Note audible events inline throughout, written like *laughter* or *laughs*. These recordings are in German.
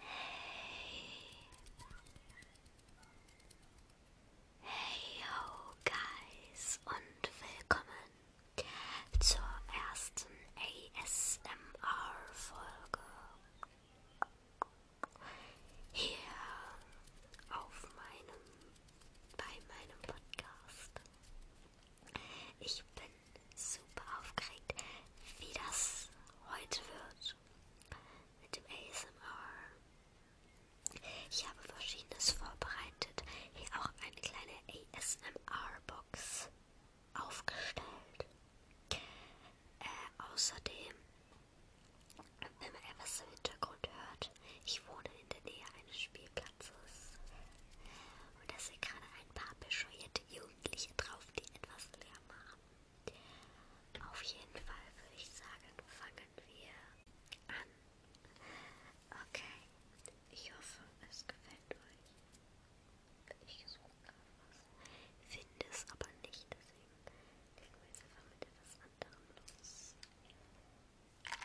Hey. Hey ho guys und willkommen zur ersten ASMR-Folge hier auf meinem bei meinem Podcast. Ich bin super aufgeregt, wie das heute wird mit dem ASMR. Ich habe verschiedenes vorbereitet, hier auch eine kleine ASMR-Box aufgestellt. Äh, außerdem, wenn man etwas im Hintergrund hört, ich wohne in der Nähe eines Spielplatzes. Und das sind gerade ein paar bescheuerte Jungs Jugendliche drauf, die etwas Lärm haben. Auf jeden Fall würde ich sagen, fangen wir an. Okay, ich hoffe, es gefällt euch. Ich suche gerade was, finde es aber nicht, deswegen legen wir jetzt einfach mit etwas anderem los. Okay.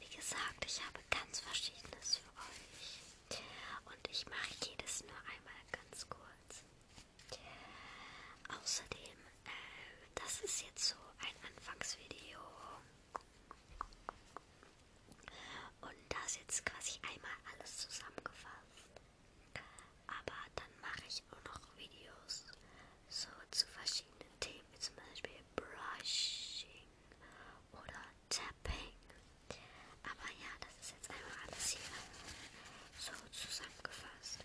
Wie gesagt, ich habe ganz verschiedenes für euch. Und ich mache jedes nur einmal ganz kurz. Außerdem, äh, das ist jetzt so ein Anfangsvideo. Und da ist jetzt quasi einmal alles zusammengefasst. Aber dann mache ich auch noch Videos, so zu verschiedenen Themen, wie zum Beispiel Brushing oder Tapping. Aber ja, das ist jetzt einmal alles hier so zusammengefasst.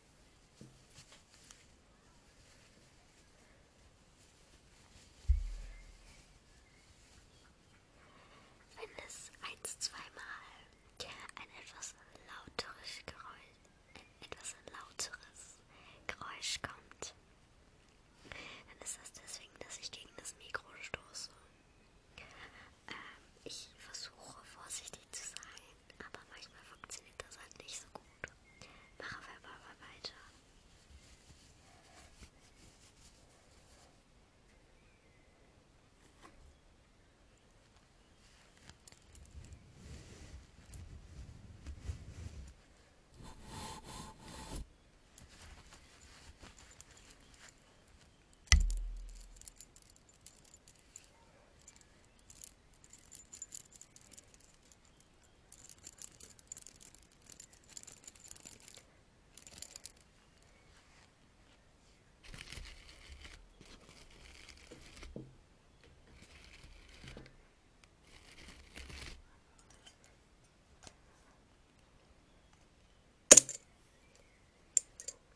Wenn es eins, zweimal ein etwas lauteres Geräusch, ein etwas lauteres Geräusch kommt, dann ist das deswegen, dass ich gegen das Mikro stoße. Ähm, ich versuche vorsichtig zu sein, aber manchmal funktioniert das halt nicht so gut. Punkt. Machen wir aber mal weiter.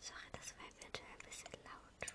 Sorry, das war eventuell ein bisschen laut.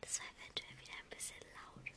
Das war eventuell wieder ein bisschen laut.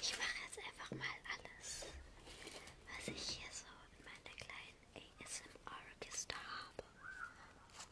Ich mache jetzt einfach mal alles, was ich hier so in meiner kleinen ASMR-Kiste habe.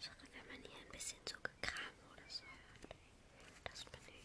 Sorry, wenn man hier ein bisschen so gekram oder so hört. Das bin ich.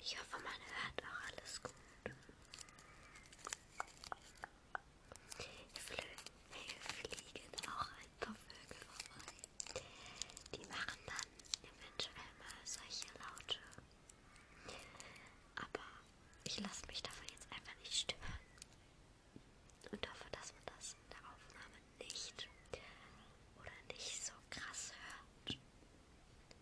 Ich hoffe, man hört auch alles gut. Flö hier fliegen auch ein paar Vögel vorbei. Die machen dann eventuell mal solche Laute. Aber ich lasse mich davon jetzt einfach nicht stören. Und hoffe, dass man das in der Aufnahme nicht oder nicht so krass hört.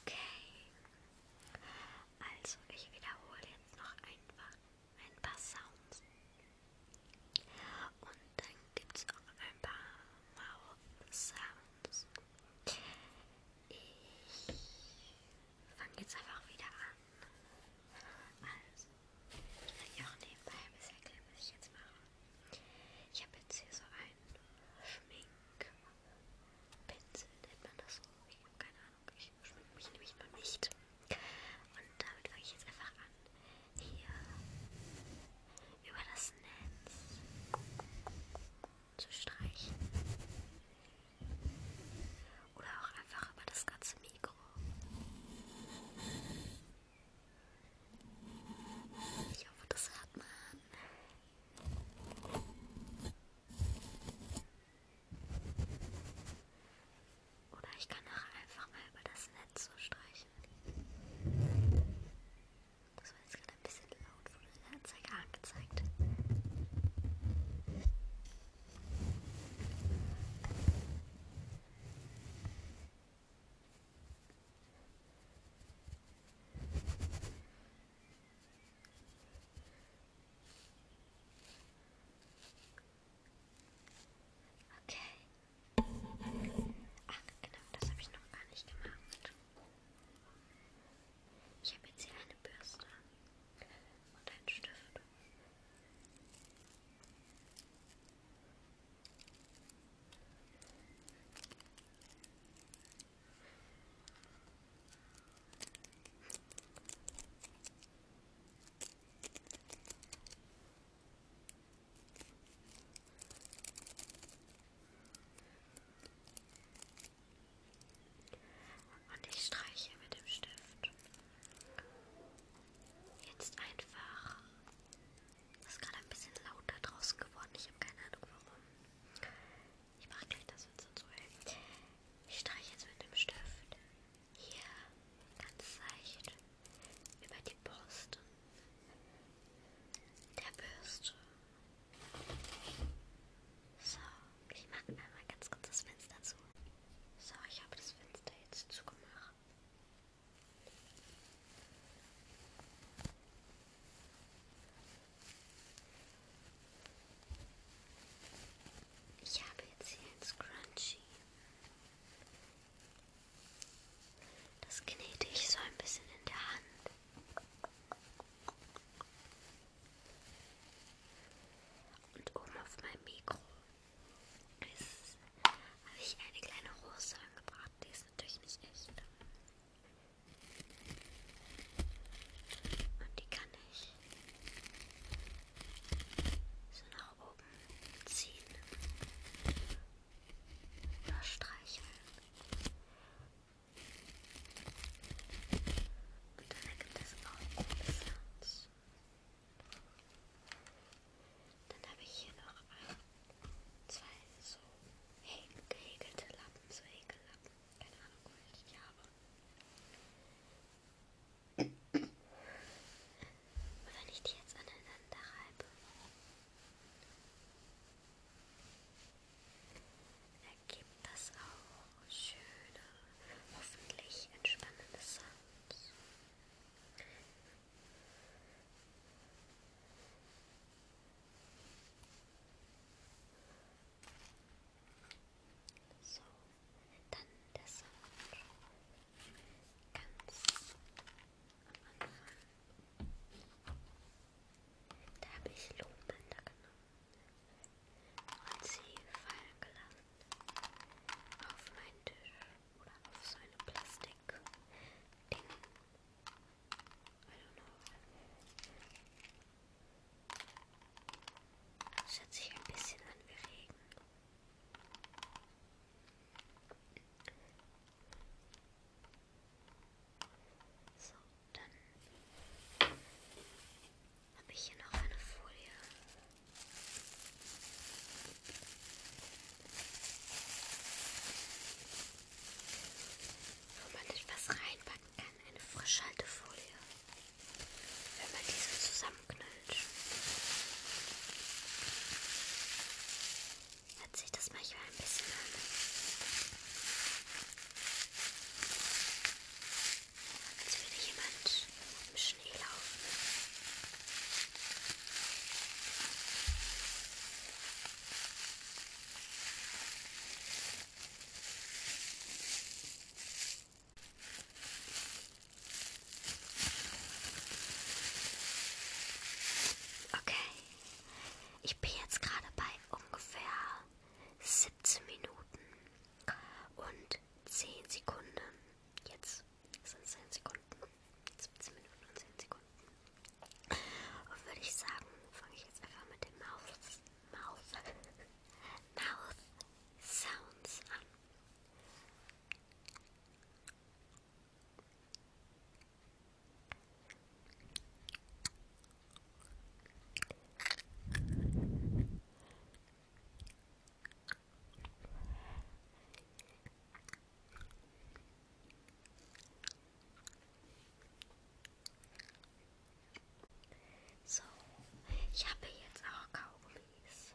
Okay. Also, ich wiederhole jetzt noch einfach ein paar Sounds. Und dann gibt es auch ein paar Mouth Sounds. Ich fange jetzt einfach wieder an. Also, ich kann ja auch nebenbei ein bisschen erklären, was ich jetzt mache. Ich habe jetzt hier so einen Schminkpinsel, nennt man das so. Ich habe keine Ahnung, ich schminke mich nämlich noch nicht. Und damit fange ich jetzt einfach an. Hier über das Netz zu streichen. Oder auch einfach über das ganze Mikro. Ich hoffe, das hört man. Oder ich kann auch einfach mal über das Netz so streichen. Das war jetzt gerade ein bisschen laut und wurde in der Anzeige angezeigt. Okay. Ach genau, das habe ich noch gar nicht gemacht. Ich habe jetzt hier eine Bürste und ein Stift. Und ich streiche mit dem Stift jetzt einfach. Das ist gerade ein bisschen lauter draußen geworden. Ich habe keine Ahnung warum. Ich mache gleich das Fenster zu. Ey. Ich streiche jetzt mit dem Stift hier ganz leicht über die Brust der Bürste so, ich mache einmal ganz kurz das Fenster zu. So, ich habe das Fenster jetzt zugemacht. Ich habe jetzt hier ein Scrunchie. Das knete ich so ein bisschen in der Hand. Und oben auf meinem Mikro habe ich eine kleine Rose angebracht. Die ist natürlich nicht echt. Und die kann ich so nach oben ziehen oder streicheln. Und dann ergibt das auch ein gutes Herz. Dann habe ich hier noch ein, äh, zwei so gehäkelte Lappen, so Häkellappen. Keine Ahnung, woher ich die habe. Und wenn ich die jetzt aneinander reibe, ergibt das auch schöne, hoffentlich entspannende Sounds. So, dann der Sound ganz am Anfang. Da habe ich Lohnbänder genommen und sie fallen gelassen auf meinen Tisch oder auf so eine Plastik-Ding. I don't know. Das hört sich ein bisschen an wie Regen. So, dann habe ich hier noch eine Folie. Wo man etwas reinpacken kann, eine Frischhaltefolie. Wenn man diese zusammenknüllt hört sich das manchmal ein bisschen an. Als würde jemand im Schnee laufen. Okay, ich bin jetzt gerade bei ungefähr 17 Minuten und 10 Sekunden. Jetzt sind 10 Sekunden. 17 Minuten und 10 Sekunden. Und würde ich sagen, fange ich jetzt einfach mit dem Mouth, Mouth, Mouth Sounds an. So, ich habe jetzt auch Kaugummis.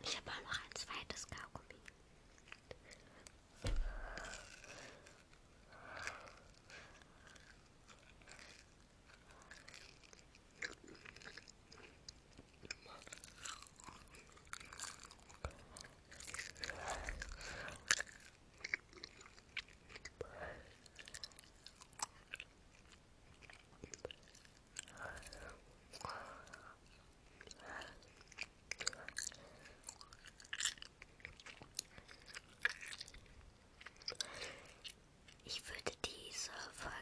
Ich habe auch noch ein zweites Kaugummi. Ich würde diese Folge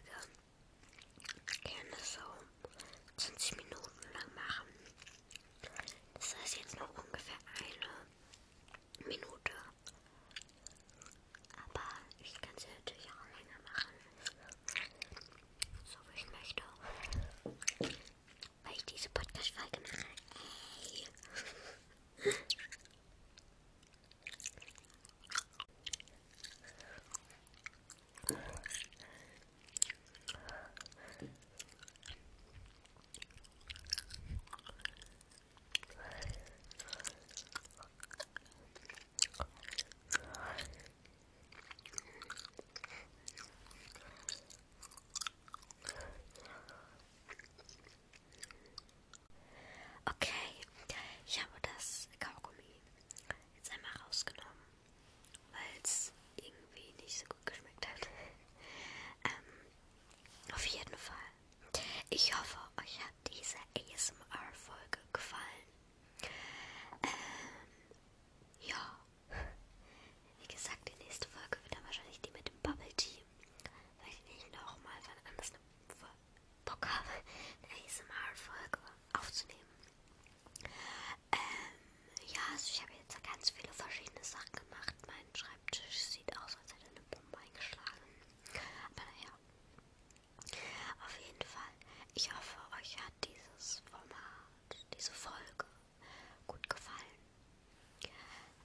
gerne so 20 Minuten lang machen. Das heißt jetzt noch ungefähr eine Minute. Aber ich kann sie natürlich auch länger machen. So wie ich möchte. Weil ich diese Podcast-Folge mache. Hey. *laughs* Okay, ich habe das Kaugummi jetzt einmal rausgenommen, weil es irgendwie nicht so gut geschmeckt hat. ähm, auf jeden Fall ich hoffe, euch hat diese ASMR-Folge gefallen. Ähm, ja. Wie gesagt, die nächste Folge wird dann wahrscheinlich die mit dem Bubble Tea. Vielleicht nicht nochmal, wann anders eine Bock habe, eine ASMR-Folge aufzunehmen. Ähm, ja, also ich habe jetzt ganz viele verschiedene Sachen gemacht. Mein Schreibtisch Schreibtisch sieht aus, als hätte eine Bombe eingeschlagen. Aber naja. Auf jeden Fall, ich hoffe, euch hat dieses Format, diese Folge gut gefallen.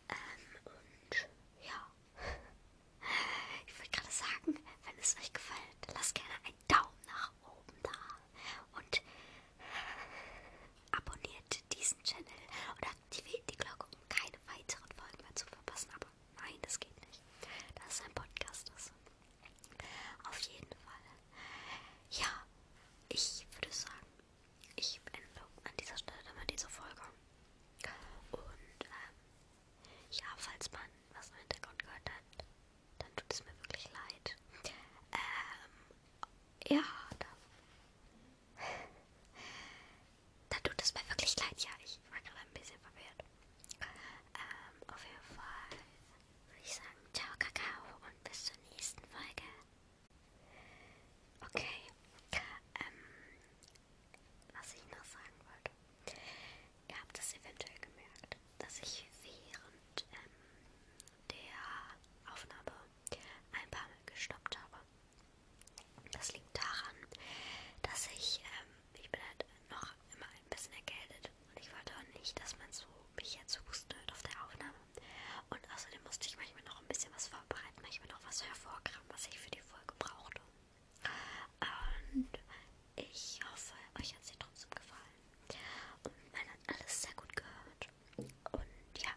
Ähm, und ja. *laughs* Ich wollte gerade sagen, wenn es euch gefällt, lasst gerne einen Daumen nach oben da und *laughs* abonniert diesen Channel oder aktiviert die Glocke, um keine weiteren Folgen mehr zu verpassen. Aber nein, das geht nicht. Das ist ein Podcast. Das. Auf jeden Fall. Ja, ich würde sagen, ich beende an dieser Stelle immer diese Folge. Und ähm, ja, falls man was im Hintergrund gehört hat, dann tut es mir wirklich leid. Ähm, ja, dann da tut es mir wirklich leid, ja. Ich war gerade ein bisschen verwirrt. Ähm, auf jeden Fall würde ich sagen, ciao Kakao und bis zur nächsten Folge. Okay. Ähm, was ich noch sagen wollte. Ihr habt es eventuell gemerkt, dass ich während ähm, der Aufnahme ein paar Mal gestoppt habe. Das liegt daran, dass ich, ähm, ich bin halt noch immer ein bisschen erkältet und ich wollte auch nicht, dass man so mich jetzt husten hört auf der Aufnahme. Und außerdem musste ich manchmal noch ein bisschen was vorbereiten, manchmal noch was hervorkramen, was ich für die Folge brauchte. Und ich hoffe, euch hat sie trotzdem gefallen. Und man hat alles sehr gut gehört. Und ja,